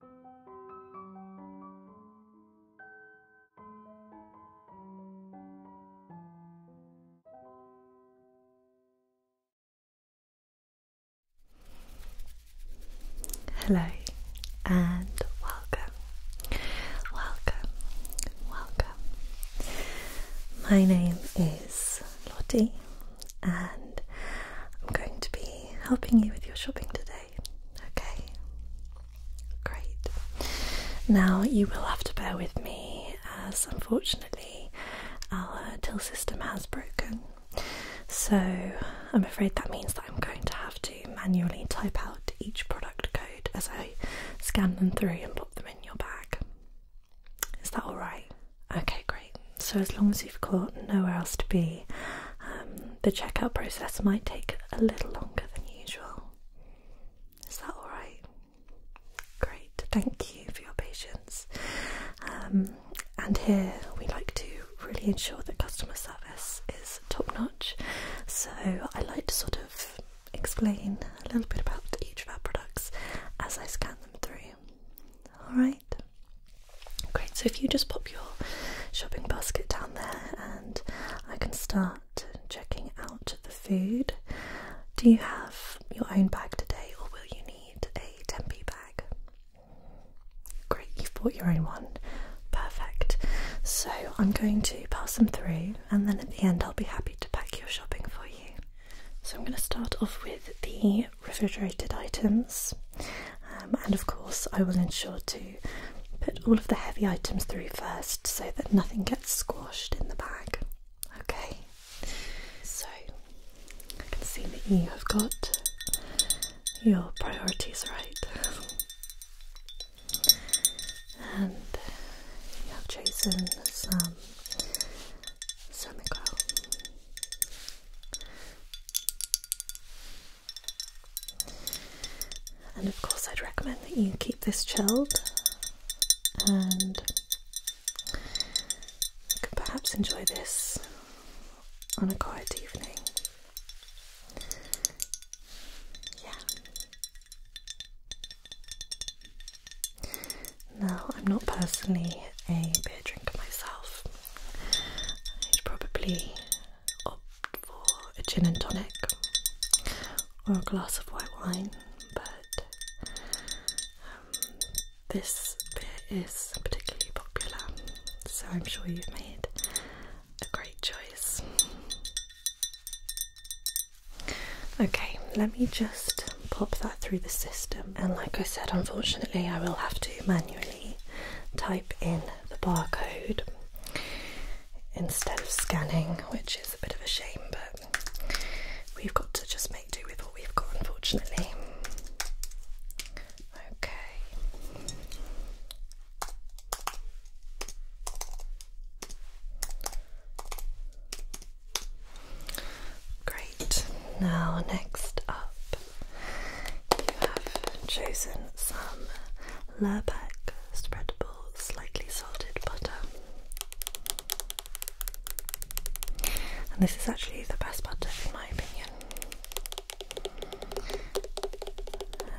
Hello and welcome, welcome, welcome. My name is Lottie, and I'm going to be helping you with your shopping today. Okay? Great. Now you will have to bear with me as unfortunately our till system has broken. So I'm afraid that means that I'm going to have to manually type out each product code as I scan them through and put them in your bag. Is that alright? Okay, great. So, as long as you've got nowhere else to be, um, the checkout process might take a little longer than usual. Is that alright? Great, thank you for your patience. Um, and here we like to really ensure that customer service is top notch, so I like to sort of explain a little bit about each of our products as I scan them through. Alright? Great, so if you just pop your shopping basket down there and I can start checking out the food. Do you have your own bag today or will you need a tempeh bag? Great, you've bought your own one. Perfect. So I'm going to pass them through and then at the end I'll be happy to pack your shopping for you. So I'm going to start off with the refrigerated items. Um, and of course, I will ensure to put all of the heavy items through first so that nothing gets squashed in the bag. Okay, so I can see that you have got your priorities right, and you have chosen some semicolon. And of course, I'd recommend that you keep this chilled and you can perhaps enjoy this on a quiet evening. Yeah. Now, I'm not personally a beer drinker myself, I'd probably opt for a gin and tonic or a glass of white wine, but um, this bit is particularly popular, so I'm sure you've made a great choice. Okay, let me just pop that through the system, and like I said, unfortunately, I will have to manually type in the barcode instead of scanning, which is a bit of a shame, but we've got to just make do with what we've got, unfortunately. Okay. Great. Now, next up, you have chosen some Lurpak spreadable, slightly salted butter. And this is actually the best butter in my opinion.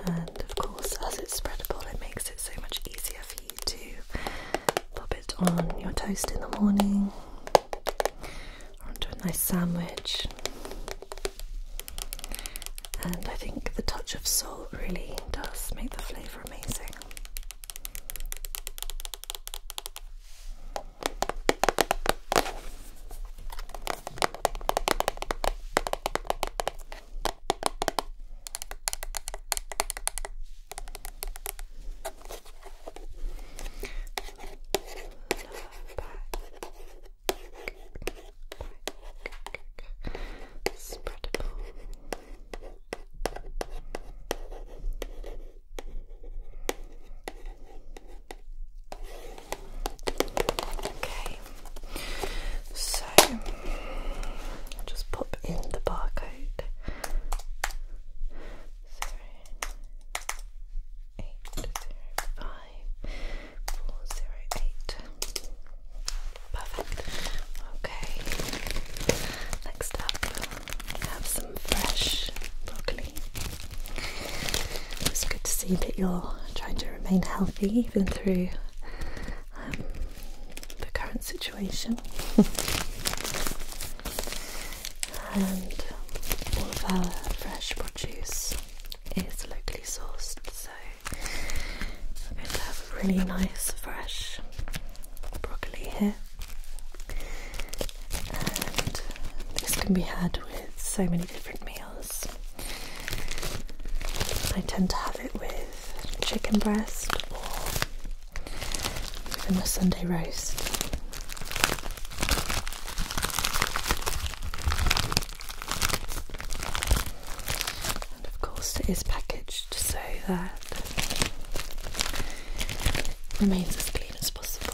And of course, as it's spreadable, it makes it so much easier for you to pop it on your toast in the morning onto a nice sandwich. And I think the touch of salt really does make the flavour amazing. Okay, so I'll just pop in the barcode. Perfect. Okay. Next up, we have some fresh broccoli. It's good to see that you're trying to remain healthy even through um, the current situation. and all of our fresh produce is locally sourced, so we're going to have a really nice fresh broccoli here. And this can be had with so many different meals. I tend to have it with chicken breast or even a Sunday roast. And of course, it is packaged so that remains as clean as possible.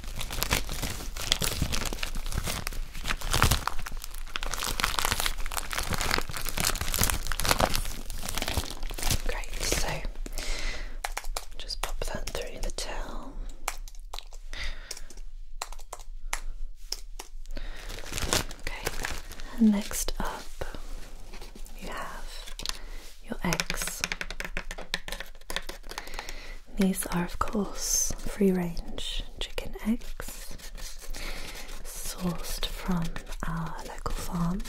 Great, so just pop that through the towel. Okay, next up you have your eggs. These are, of course, free range chicken eggs sourced from our local farm.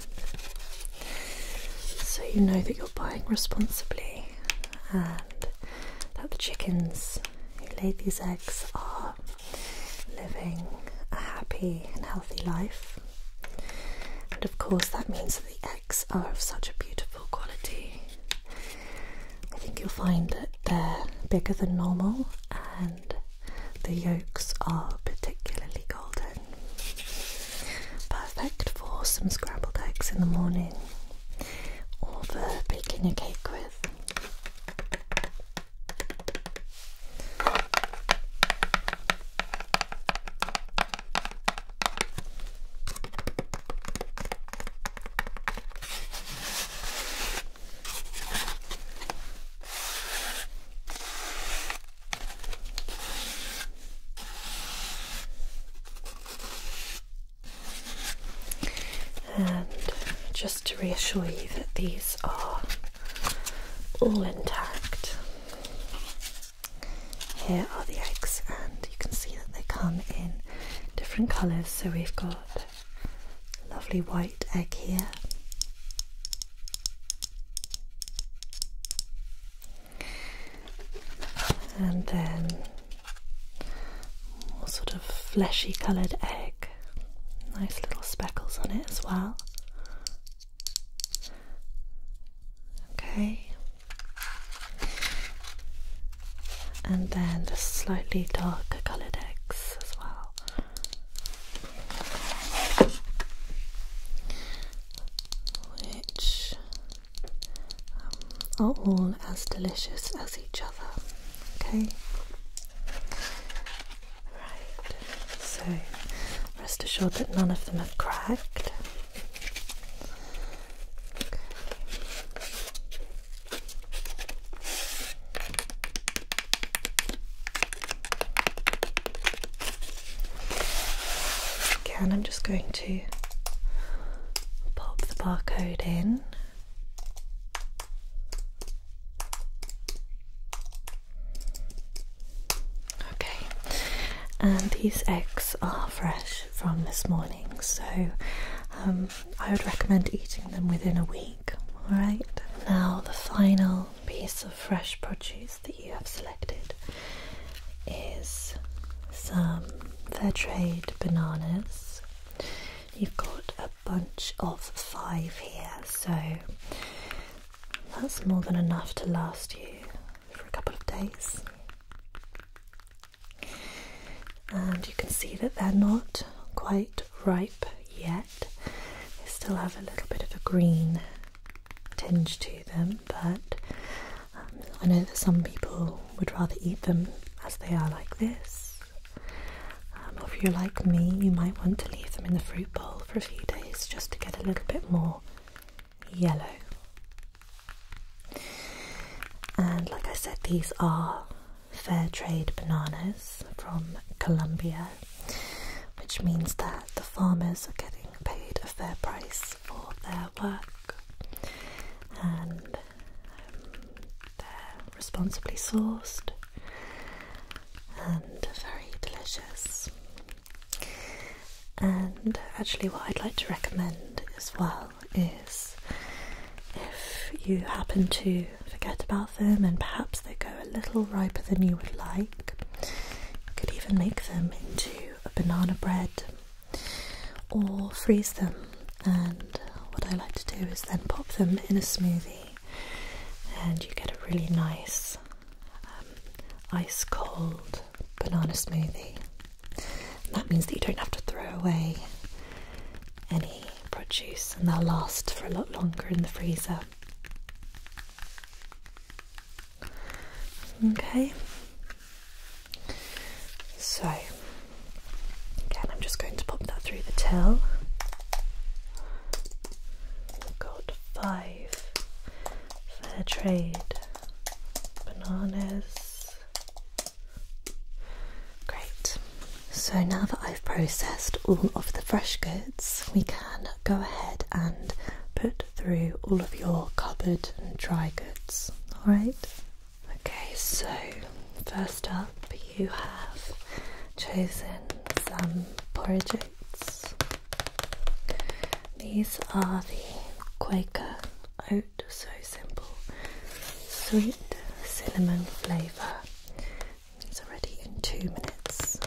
So you know that you're buying responsibly and that the chickens who laid these eggs are living a happy and healthy life. And of course, that means that the eggs are of such a beautiful quality I think you'll find that they're bigger than normal and the yolks are particularly golden. Perfect for some scrambled eggs in the morning or for baking a cake with. And just to reassure you that these are all intact. Here are the eggs, and you can see that they come in different colours. So we've got lovely white egg here. And then more sort of fleshy coloured egg. Nice little speckles on it as well. Okay, and then the slightly darker coloured eggs as well. Which um, are all as delicious as each other. Okay? Right, so rest assured that none of them have cracked. Okay, and I'm just going to pop the barcode in. Okay, and these eggs are fresh from this morning, so um, I would recommend eating them within a week. Alright, now the final piece of fresh produce that you have selected is some fair trade bananas. You've got a bunch of five here, so that's more than enough to last you for a couple of days and you can see that they're not quite ripe yet. They still have a little bit of a green tinge to them, but um, I know that some people would rather eat them as they are like this. Um, if you're like me, you might want to leave them in the fruit bowl for a few days just to get a little bit more yellow and like I said, these are fair trade bananas from Colombia, which means that the farmers are getting paid a fair price for their work and um, they're responsibly sourced and very delicious. And actually, what I'd like to recommend as well is if you happen to forget about them and perhaps they go a little riper than you would like, you could even make them into a banana bread or freeze them. And what I like to do is then pop them in a smoothie, and you get a really nice um, ice cold banana smoothie that means that you don't have to throw away any produce and they'll last for a lot longer in the freezer. Okay, so again, I'm just going to pop that through the till. got five fair trade bananas. Great. So now that I've processed all of the fresh goods, we can go ahead and put through all of your cupboard and dry goods. Alright? Okay, so first up, you have chosen some porridge oats. These are the Quaker oat so simple sweet cinnamon flavour. It's already in two minutes.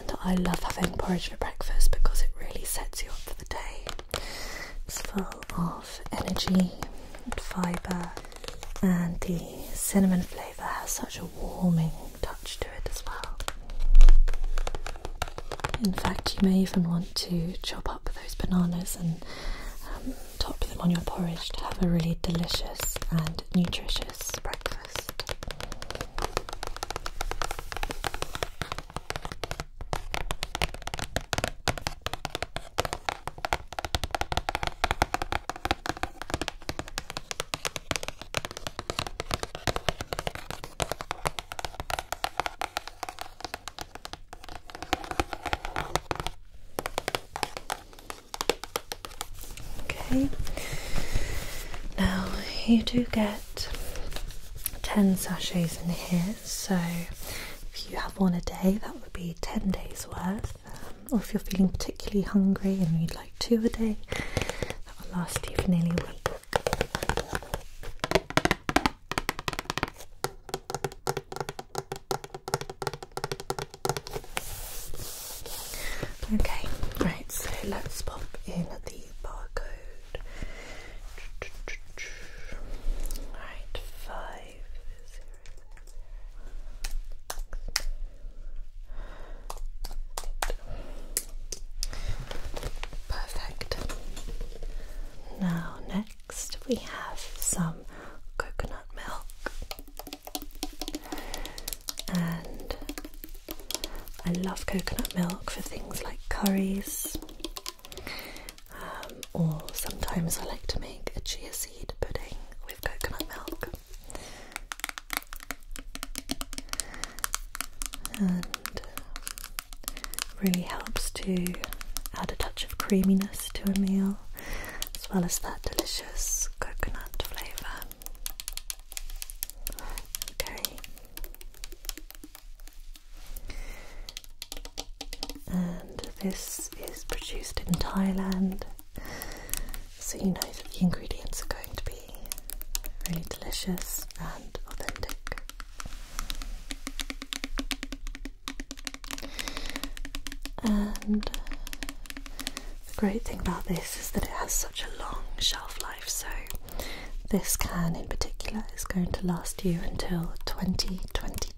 And I love having porridge for breakfast because it really sets you up for the day. It's full of energy and fibre, and the cinnamon flavour has such a warming touch to it as well. In fact, you may even want to chop up those bananas and um, top them on your porridge to have a really delicious and nutritious breakfast. Okay, now you do get 10 sachets in here, so if you have one a day, that would be 10 days worth. Um, or if you're feeling particularly hungry and you'd like two a day, that will last you for nearly a week. Okay, right, so let's pop in the barcode. Right, five zero zero. Perfect. Now, next we have some coconut milk, and I love coconut milk for things like curries, um, or sometimes I like to make a chia seed pudding with coconut milk and really helps to add a touch of creaminess to a meal as well as that delicious coconut flavour. Okay. And this is produced in Thailand, so you know that the ingredients are going to be really delicious and authentic. And uh, the great thing about this is that it has such a long shelf life, so this can in particular is going to last you until 2022.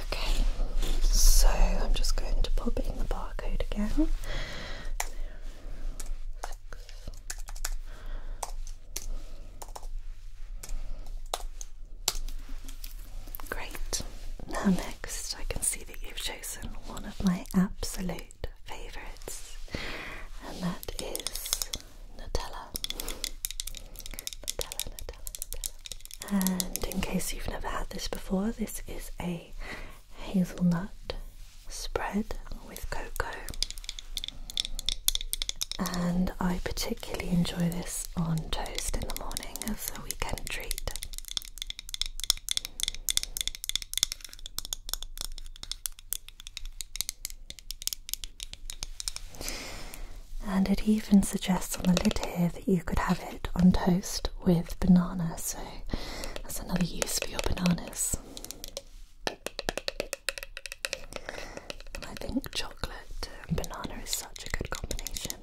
Okay, so I'm just going to pop in the barcode again. Great. Now, next, I can see that you've chosen one of my absolute favourites, and that is Nutella. Nutella, Nutella, Nutella. And in case you've never had this before, this is a hazelnut spread with cocoa. And I particularly particularly enjoy this on toast in the morning as a weekend treat. And it even suggests on the lid here that you could have it on toast with banana, so that's another use for your bananas. I think chocolate and banana is such a good combination.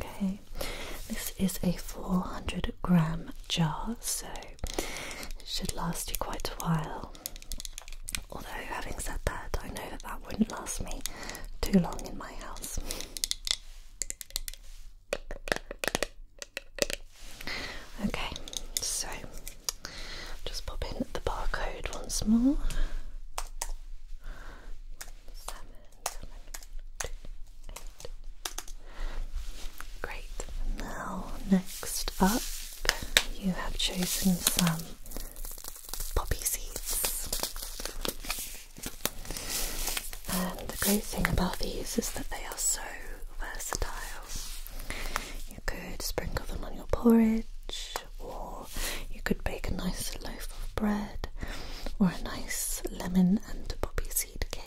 Okay, this is a 400 gram jar, so it should last you quite a while. Although, having said that, I know that that wouldn't last me too long in my house. Okay, so just pop in the barcode once more. Great. Now, next up, you have chosen some poppy seeds. And the great thing about these is that they are so versatile. You could sprinkle them on your porridge, or you could bake a nice loaf of bread, or a nice lemon and poppy seed cake.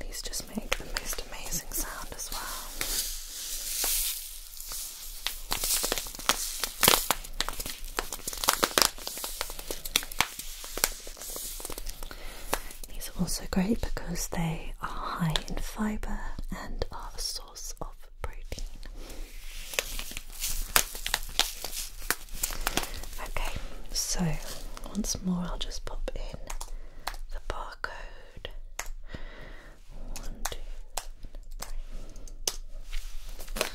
These just make the most amazing sound as well. These are also great because they are high in fibre and are a source of protein. Okay, so once more I'll just pop in the barcode one, two, three.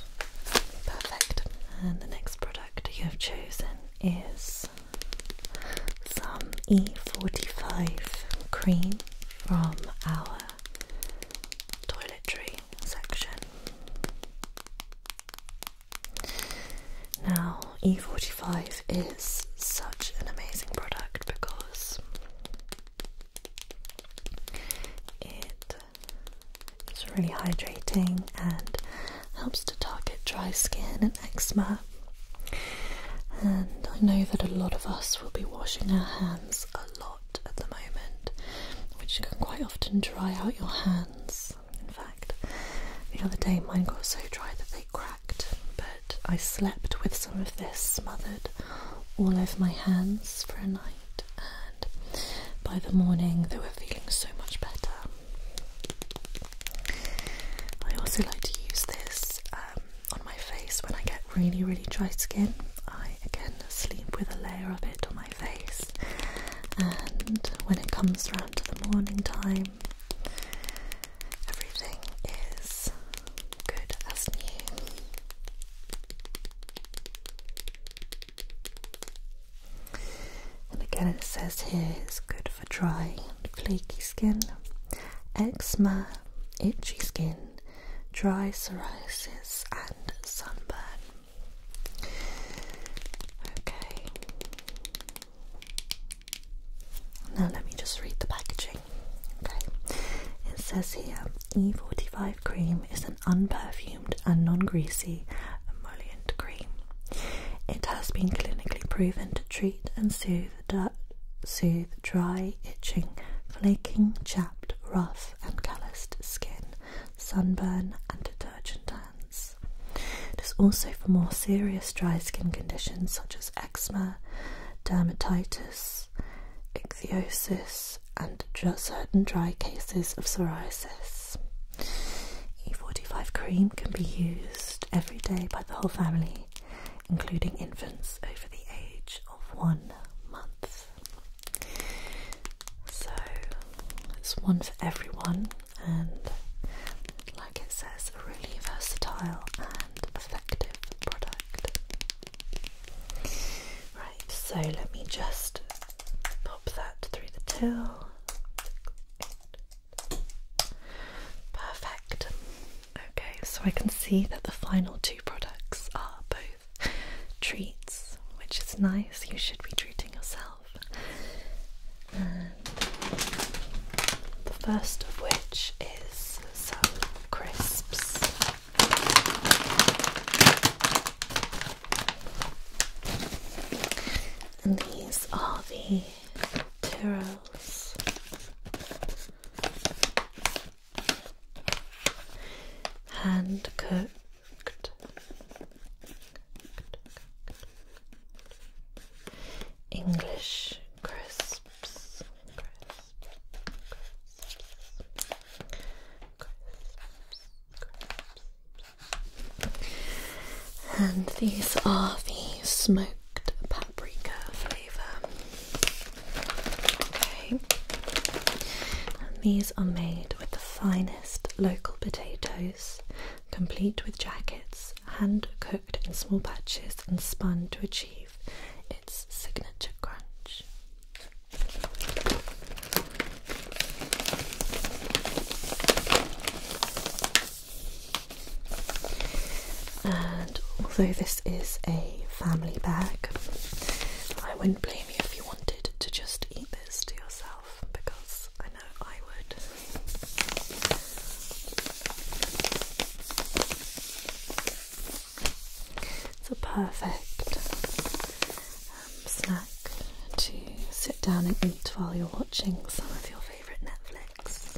Perfect. And the next product you have chosen is some E45 cream from our toiletry section. Now, E45 is such an amazing product because it is really hydrating and helps to target dry skin and eczema. And I know that a lot of us will be washing our hands a lot at the moment, which can quite often dry out your hands. In fact, the other day mine got so dry that they cracked, but I slept with some of this smothered all over my hands for a night, and by the morning they were feeling so much better. I also like to use this um, on my face when I get really, really dry skin. I again sleep with a layer of it on my face, and when it comes round to the morning time, everything is good as new. And again, it says here it's good for dry flaky skin, eczema, itchy skin, dry psoriasis, and sunburn. Okay, now let me just read the packaging. Okay. It says here E45 cream is an unperfumed and non greasy emollient cream. It has been clinically proven to treat and soothe, soothe dry, itching, flaking, chapped, rough, and calloused skin, sunburn, and detergent hands. It is also for more serious dry skin conditions such as eczema, dermatitis ichthyosis, and certain dry cases of psoriasis. E45 cream can be used every day by the whole family, including infants over the age of one month. So it's one for everyone, and like it says, a really versatile and effective product. Right, so let me just pop that through the till. Perfect. Okay, so I can see that the final two products are both treats, which is nice. You should be treating yourself. the first of which is some crisps. And these are the Tyrrells. Hand cooked English crisps. And these are the smoked paprika flavour. Okay. And these are made with the finest local potatoes, complete with jackets, hand cooked in small batches and spun to achieve its signature crunch. And although this is a family bag, I wouldn't blame you if you wanted to just eat this to yourself because I know I would. It's a perfect um, snack to sit down and eat while you're watching some of your favourite Netflix.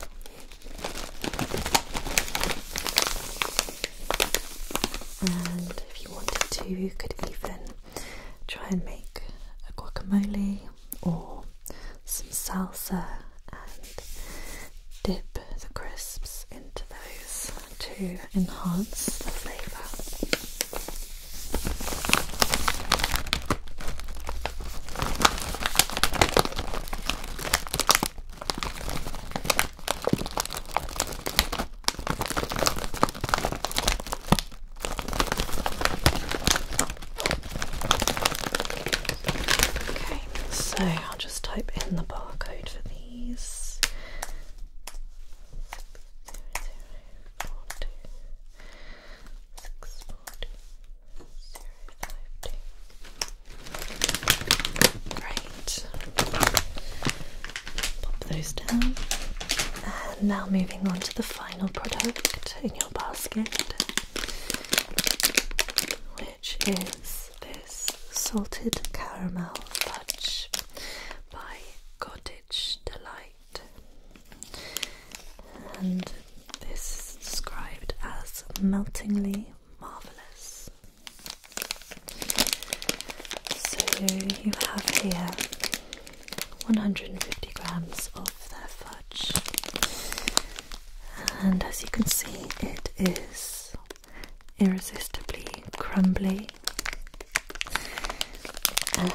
And if you wanted to, you could even try and make a guacamole or some salsa and dip the crisps into those to enhance the flavour. Okay, so I'll just type in the barcode for these. Right. Pop those down. And now moving on to the final product in your basket which is this salted caramel fudge by Cottage Delight. And this is described as meltingly marvellous. So you have here 150 grams of their fudge and as you can see, it is irresistibly crumbly. And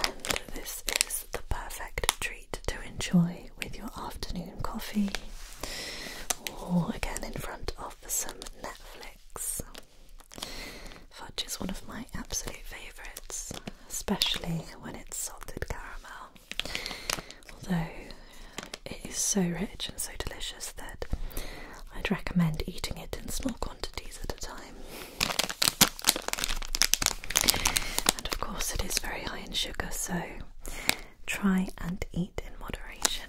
this is the perfect treat to enjoy with your afternoon coffee, or again in front of some Netflix. Fudge is one of my absolute favourites, especially when it's salted caramel. Although it is so rich and so delicious that I'd recommend eating it in small quantities at a time. And of course, it is very high in sugar, so try and eat in moderation.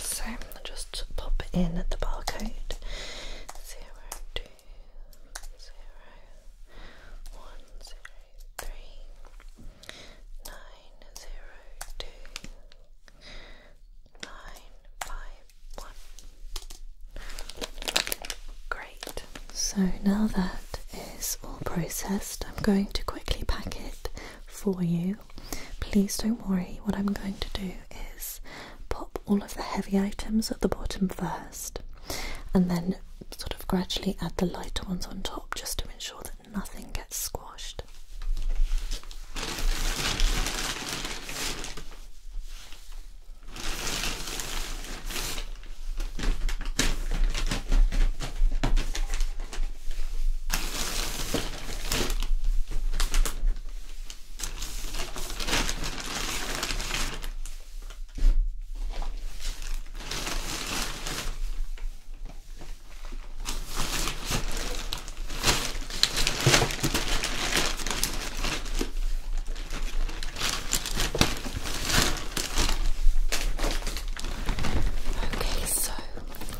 So just pop in the barcode. Zero two zero one zero three nine zero two nine five one. Great. So now that is all processed, I'm going to quickly pack it for you please don't worry, what I'm going to do is pop all of the heavy items at the bottom first and then sort of gradually add the lighter ones on top just to ensure that nothing gets squashed.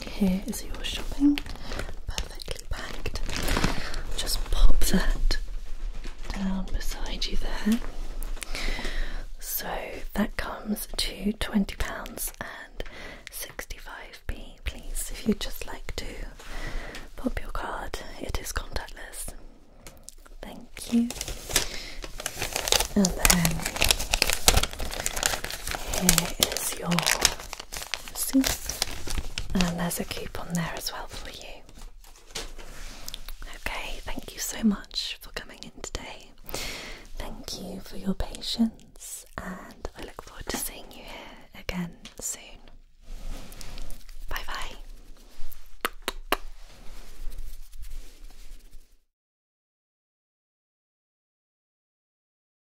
Okay, so here is your shopping. Perfect. Just pop that down beside you there. So that comes to £20 and 65p. Please, if you'd just like to pop your card, it is contactless. Thank you. And then here is your and there's a coupon there as well for you. Okay, thank you so much for coming in today. Thank you for your patience, and I look forward to seeing you here again soon. Bye bye.